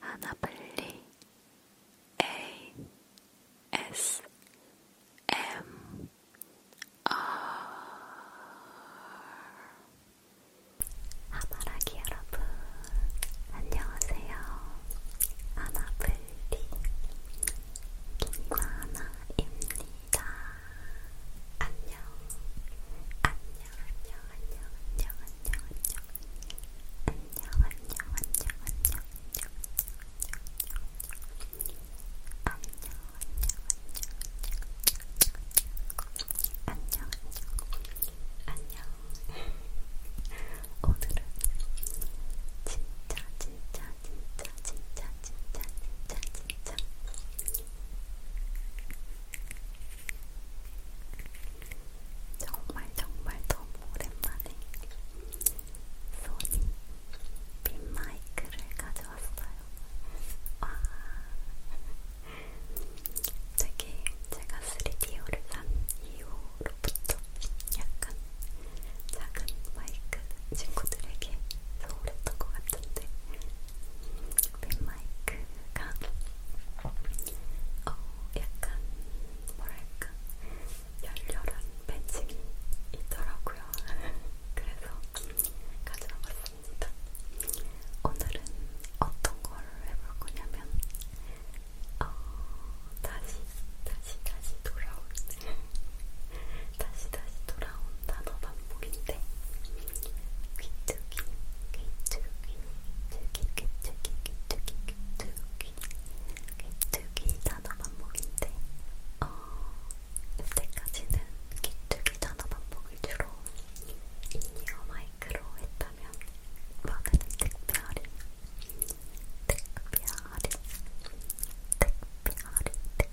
하나빨리 A S M R 하바라기 여러분 안녕하세요. 하나빨리 김과나입니다. 안녕, 안녕, 안녕, 안녕, 안녕, 안녕, 안녕, 안녕, 안녕, 안녕, 안녕, 안녕, 안녕, 안녕, 오늘은 진짜 진짜 진짜 진짜 진짜 진짜 진짜 정말 정말 너무 오랜만에 소니 빈마이크를 가져왔어요. 와 아. 되게 제가 3DO를 산 이후로부터 약간 작은 마이크 친구들에게 소홀했던 것 같은데 빈 마이크가 어, 약간 뭐랄까 열렬한 팬층이 있더라고요. 그래서 가져와 봤습니다. 오늘은 어떤 걸 해볼 거냐면 어, 다시 다시 다시 돌아온 다시 다시 돌아온 단어 반복인데 귀뚜기 귀뚜기 귀뚜기 귀뚜기 귀뚜기 귀뚜기 귀뚜기 단어 반복인데 어 이때까지는 귀뚜기 단어 반복을 주로 인이어 마이크로 했다면 이번에는 특별히 특별히 특별히 특별히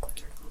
모드득 모드득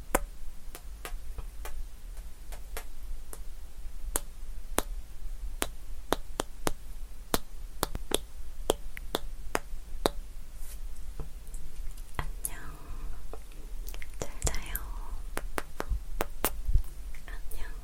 안녕. 잘 자요. 안녕.